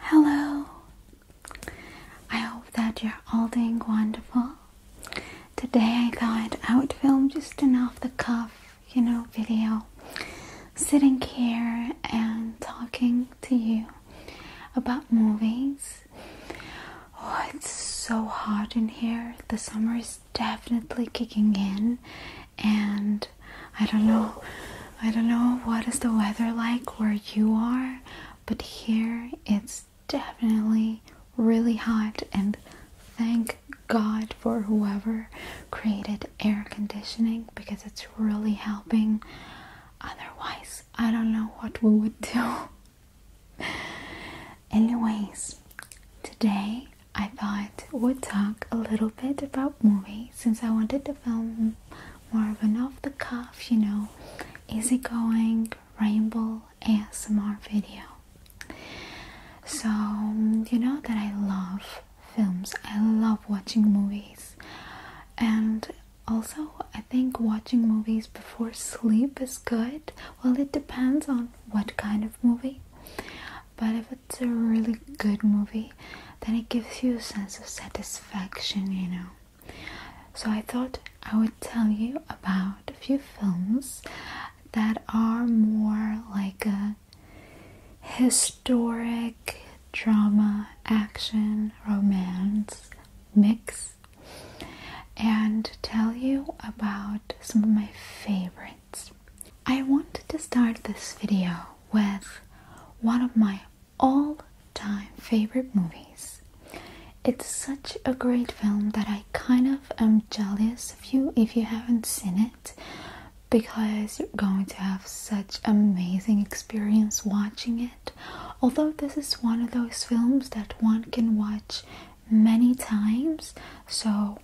Hello! I hope that you're all doing wonderful. Today I thought I would film just an off the cuff, you know, video sitting here and talking to you about movies. Oh, it's so hot in here. The summer is definitely kicking in, and I don't know. I don't know what is the weather like where you are, but here it's definitely really hot and thank God for whoever created air conditioning because it's really helping. Otherwise, I don't know what we would do. Anyways, today I thought we'd talk a little bit about movies since I wanted to film more of an off the cuff, you know, easygoing rainbow ASMR video. So, you know that I love films, I love watching movies, and also I think watching movies before sleep is good. Well, it depends on what kind of movie, but if it's a really good movie, then it gives you a sense of satisfaction, you know. So I thought I would tell you about a few films that are more like a historic drama, action, romance mix and tell you about some of my favorites. I wanted to start this video with one of my all-time favorite movies. It's such a great film that I kind of am jealous of you if you haven't seen it because you're going to have such amazing experience watching it. Although this is one of those films that one can watch many times, so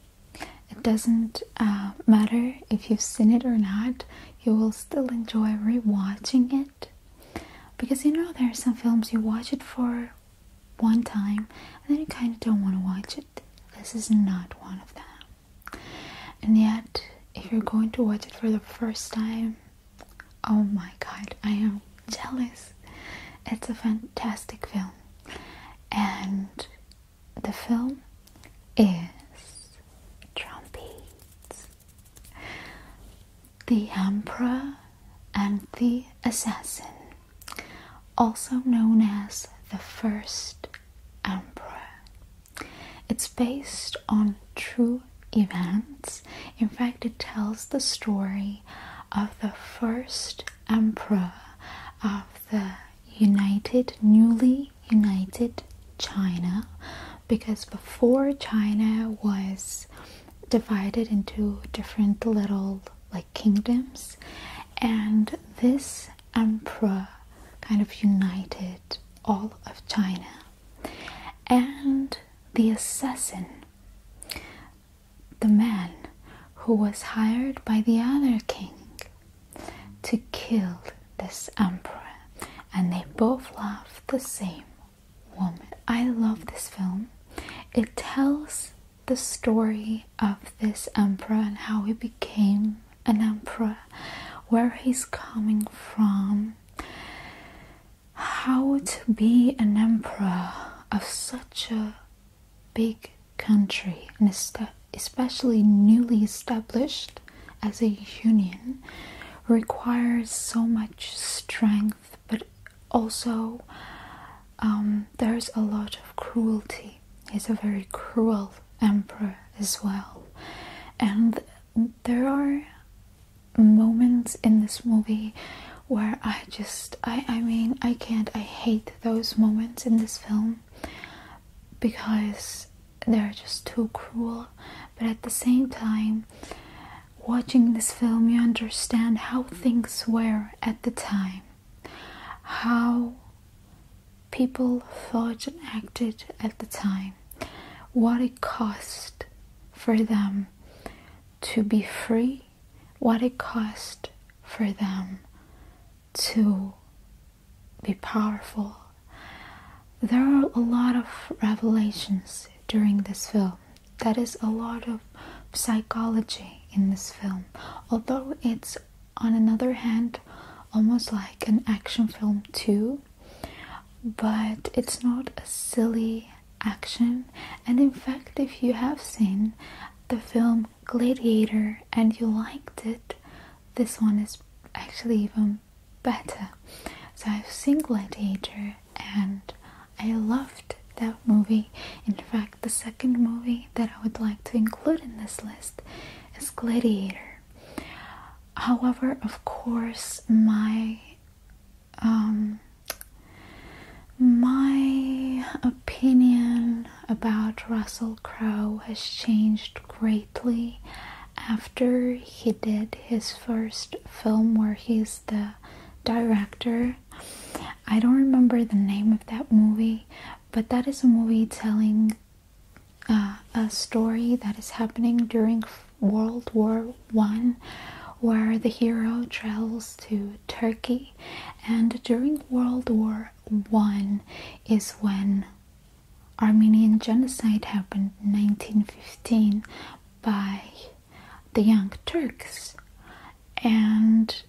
it doesn't uh, matter if you've seen it or not, you will still enjoy rewatching it because you know there are some films you watch it for one time and then you kind of don't want to watch it. This is not one of them. And yet, if you're going to watch it for the first time, oh my god, I am jealous. It's a fantastic film. And the film is Drumbeats. The Emperor and the Assassin, also known as the First Emperor. It's based on true events. In fact, it tells the story of the first emperor of the United, newly united China because before China was divided into different little like kingdoms, and this emperor kind of united all of China. And the assassin, the man who was hired by the other king to kill this emperor, and they both laughed the same woman. I love this film. It tells the story of this emperor and how he became an emperor, where he's coming from, how to be an emperor of such a big country and especially newly established as a union requires so much strength, but also um, there's a lot of cruelty. He's a very cruel emperor as well. And there are moments in this movie where I just, I mean, I can't, I hate those moments in this film because they're just too cruel but at the same time, watching this film, you understand how things were at the time, how people thought and acted at the time, what it cost for them to be free, what it cost for them to be powerful, there are a lot of revelations during this film. That is a lot of psychology in this film. Although it's, on another hand, almost like an action film, too, but it's not a silly action. And in fact, if you have seen the film Gladiator and you liked it, this one is actually even better. So I've seen Gladiator and I loved that movie. In fact, the second movie that I would like to include in this list is Gladiator. However, of course, my um, my opinion about Russell Crowe has changed greatly after he did his first film where he's the director. I don't remember the name of that movie, but that is a movie telling uh, a story that is happening during World War One, where the hero travels to Turkey, and during World War One is when Armenian genocide happened, in 1915, by the Young Turks, and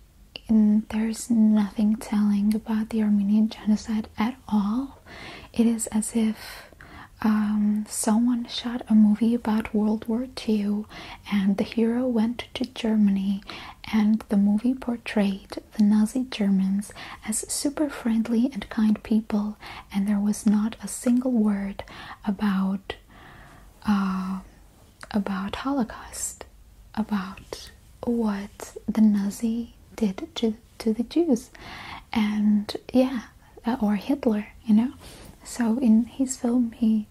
there's nothing telling about the Armenian genocide at all. It is as if um, someone shot a movie about World War II, and the hero went to Germany, and the movie portrayed the Nazi Germans as super friendly and kind people, and there was not a single word about uh, about Holocaust, about what the Nazi did to to the Jews, and yeah, or Hitler, you know. So in his film, he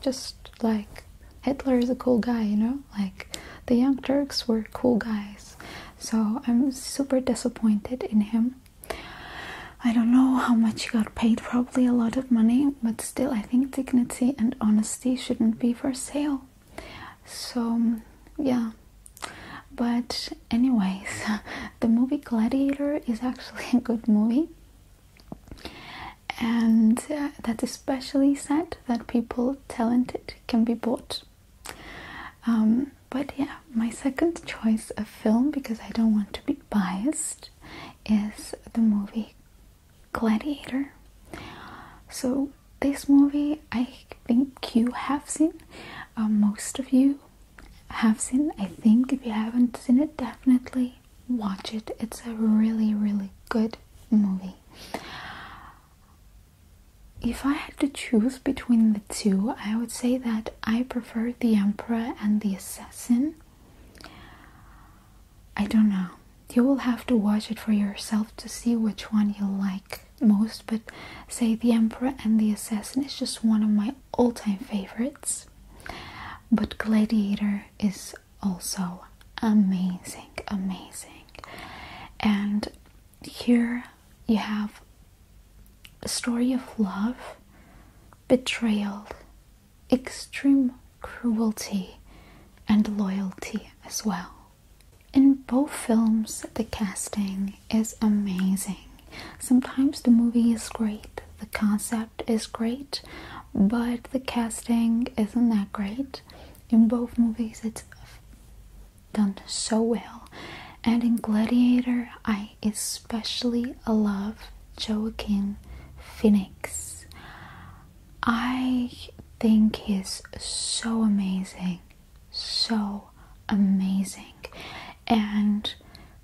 just like Hitler is a cool guy, you know, like the Young Turks were cool guys. So I'm super disappointed in him. I don't know how much he got paid, probably a lot of money, but still, I think dignity and honesty shouldn't be for sale. So, yeah. But, anyways, the movie Gladiator is actually a good movie, and uh, that's especially sad that people talented can be bought. Um, but yeah, my second choice of film because I don't want to be biased is the movie Gladiator. So, this movie I think you have seen, uh, most of you have seen. I think if you haven't seen it, definitely watch it. It's a really, really good movie. If I had to choose between the two, I would say that I prefer the Emperor and the Assassin. I don't know. You will have to watch it for yourself to see which one you like most, but say The Emperor and the Assassin is just one of my all time favorites. But Gladiator is also amazing, amazing. And here you have a story of love, betrayal, extreme cruelty, and loyalty as well. In both films, the casting is amazing. Sometimes the movie is great, the concept is great, but the casting isn't that great. In both movies, it's done so well, and in Gladiator, I especially love Joaquin Phoenix. I think he's so amazing, so amazing, and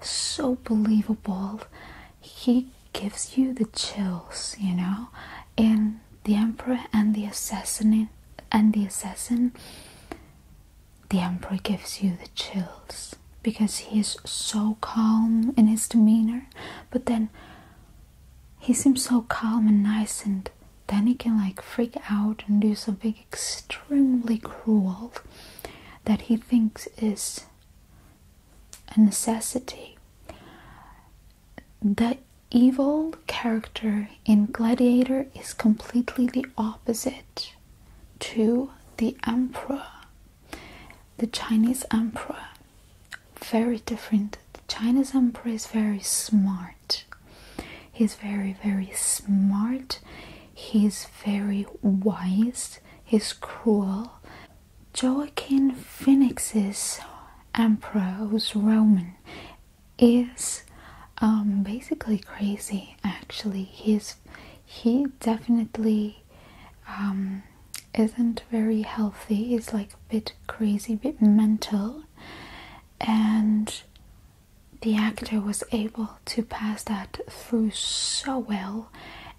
so believable. He gives you the chills, you know, in The Emperor and the Assassin and the Assassin. The Emperor gives you the chills because he is so calm in his demeanor, but then he seems so calm and nice, and then he can like freak out and do something extremely cruel that he thinks is a necessity. The evil character in Gladiator is completely the opposite to the Emperor. The Chinese emperor, very different. The Chinese emperor is very smart. He's very, very smart. He's very wise. He's cruel. Joaquin Phoenix's emperor, who's Roman, is um, basically crazy. Actually, he's he definitely um, isn't very healthy. He's like a bit crazy, a bit mental, and the actor was able to pass that through so well.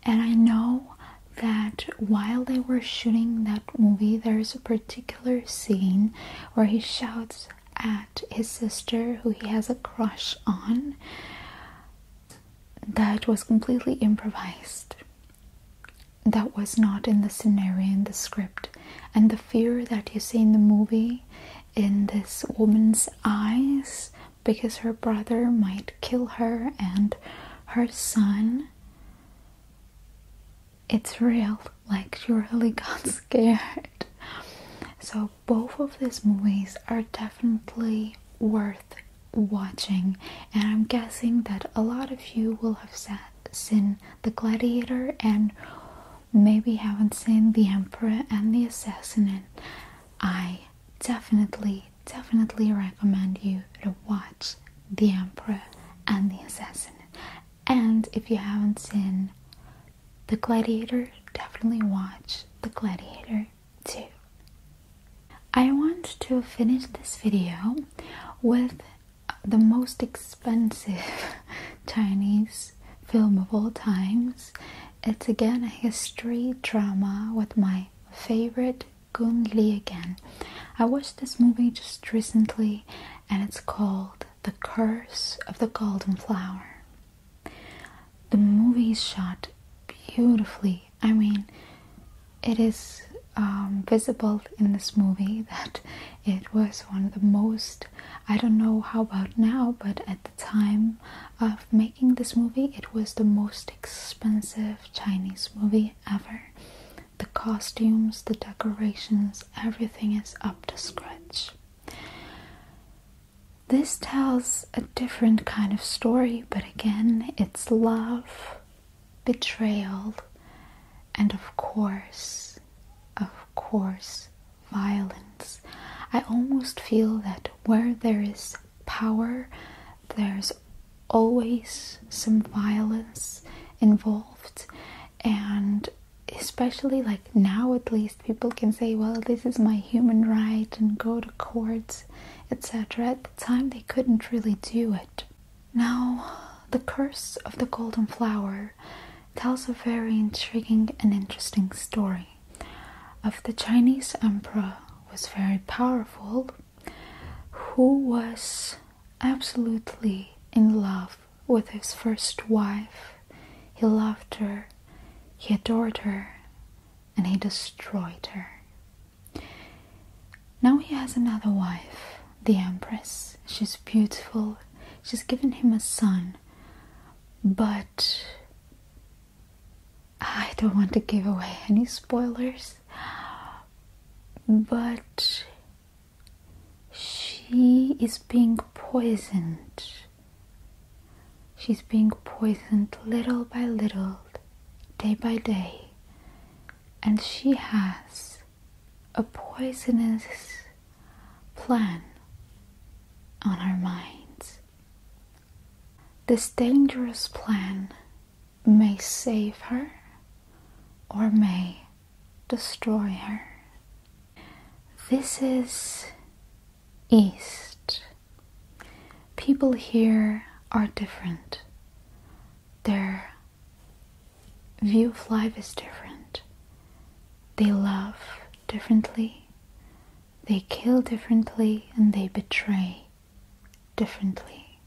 And I know that while they were shooting that movie, there's a particular scene where he shouts at his sister, who he has a crush on that was completely improvised. That was not in the scenario, in the script. And the fear that you see in the movie, in this woman's eyes, because her brother might kill her and her son, it's real. Like, she really got scared. So, both of these movies are definitely worth watching, and I'm guessing that a lot of you will have seen The Gladiator and maybe haven't seen The Emperor and The Assassin. I definitely, definitely recommend you to watch The Emperor and The Assassin. And if you haven't seen The Gladiator, definitely watch The Gladiator too. I want to finish this video with the most expensive Chinese film of all times. It's again a history drama with my favorite Gun Li again. I watched this movie just recently and it's called The Curse of the Golden Flower. The movie is shot beautifully. I mean, it is um, visible in this movie that it was one of the most. I don't know how about now, but at the time of making this movie, it was the most expensive Chinese movie ever. The costumes, the decorations, everything is up to scratch. This tells a different kind of story, but again, it's love, betrayal, and of course, of course, violence. I almost feel that where there is power, there's always some violence involved, and especially like now, at least, people can say, Well, this is my human right, and go to courts etc. At the time, they couldn't really do it. Now, the curse of the golden flower tells a very intriguing and interesting story of the Chinese emperor was very powerful, who was absolutely in love with his first wife. He loved her, he adored her, and he destroyed her. Now he has another wife, the Empress. She's beautiful, she's given him a son, but I don't want to give away any spoilers. But she is being poisoned She's being poisoned little by little, day by day, and she has a poisonous plan on our minds. This dangerous plan may save her or may destroy her. This is East. People here are different. Their view of life is different. They love differently, they kill differently, and they betray differently.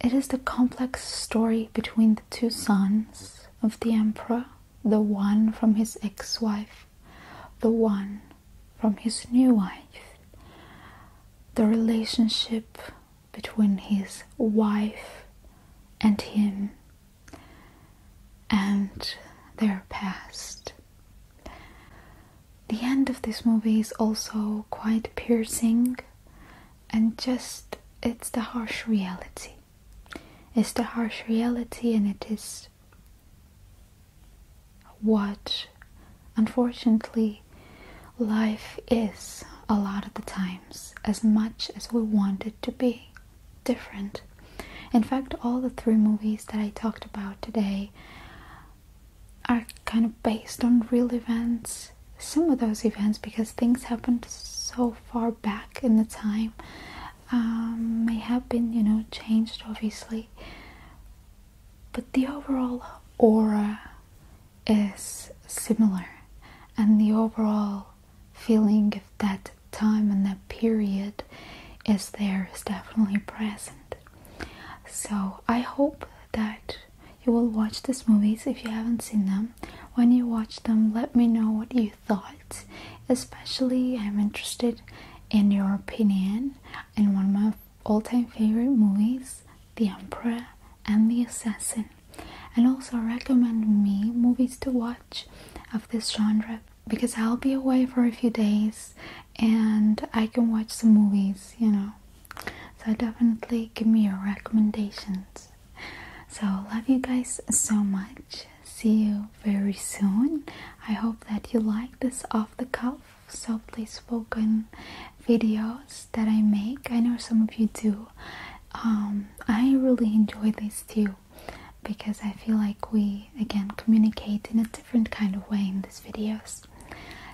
It is the complex story between the two sons of the emperor, the one from his ex wife the one from his new wife. The relationship between his wife and him and their past. The end of this movie is also quite piercing and just it's the harsh reality. It's the harsh reality and it is what unfortunately life is a lot of the times as much as we want it to be different in fact all the three movies that i talked about today are kind of based on real events some of those events because things happened so far back in the time um, may have been you know changed obviously but the overall aura is similar, and the overall feeling of that time and that period is there, is definitely present. So, I hope that you will watch these movies if you haven't seen them. When you watch them, let me know what you thought. Especially, I'm interested in your opinion, and one of my all-time favorite movies, The Emperor and the Assassin, and also recommend me movies to watch of this genre because I'll be away for a few days and I can watch some movies, you know. So definitely give me your recommendations. So love you guys so much. See you very soon. I hope that you like this off the cuff softly spoken videos that I make. I know some of you do. Um, I really enjoy these too because I feel like we again communicate in a different kind of way in these videos.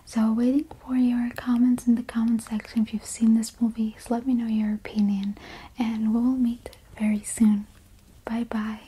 So, waiting for your comments in the comment section if you've seen this movie. let me know your opinion, and we will meet very soon. Bye bye.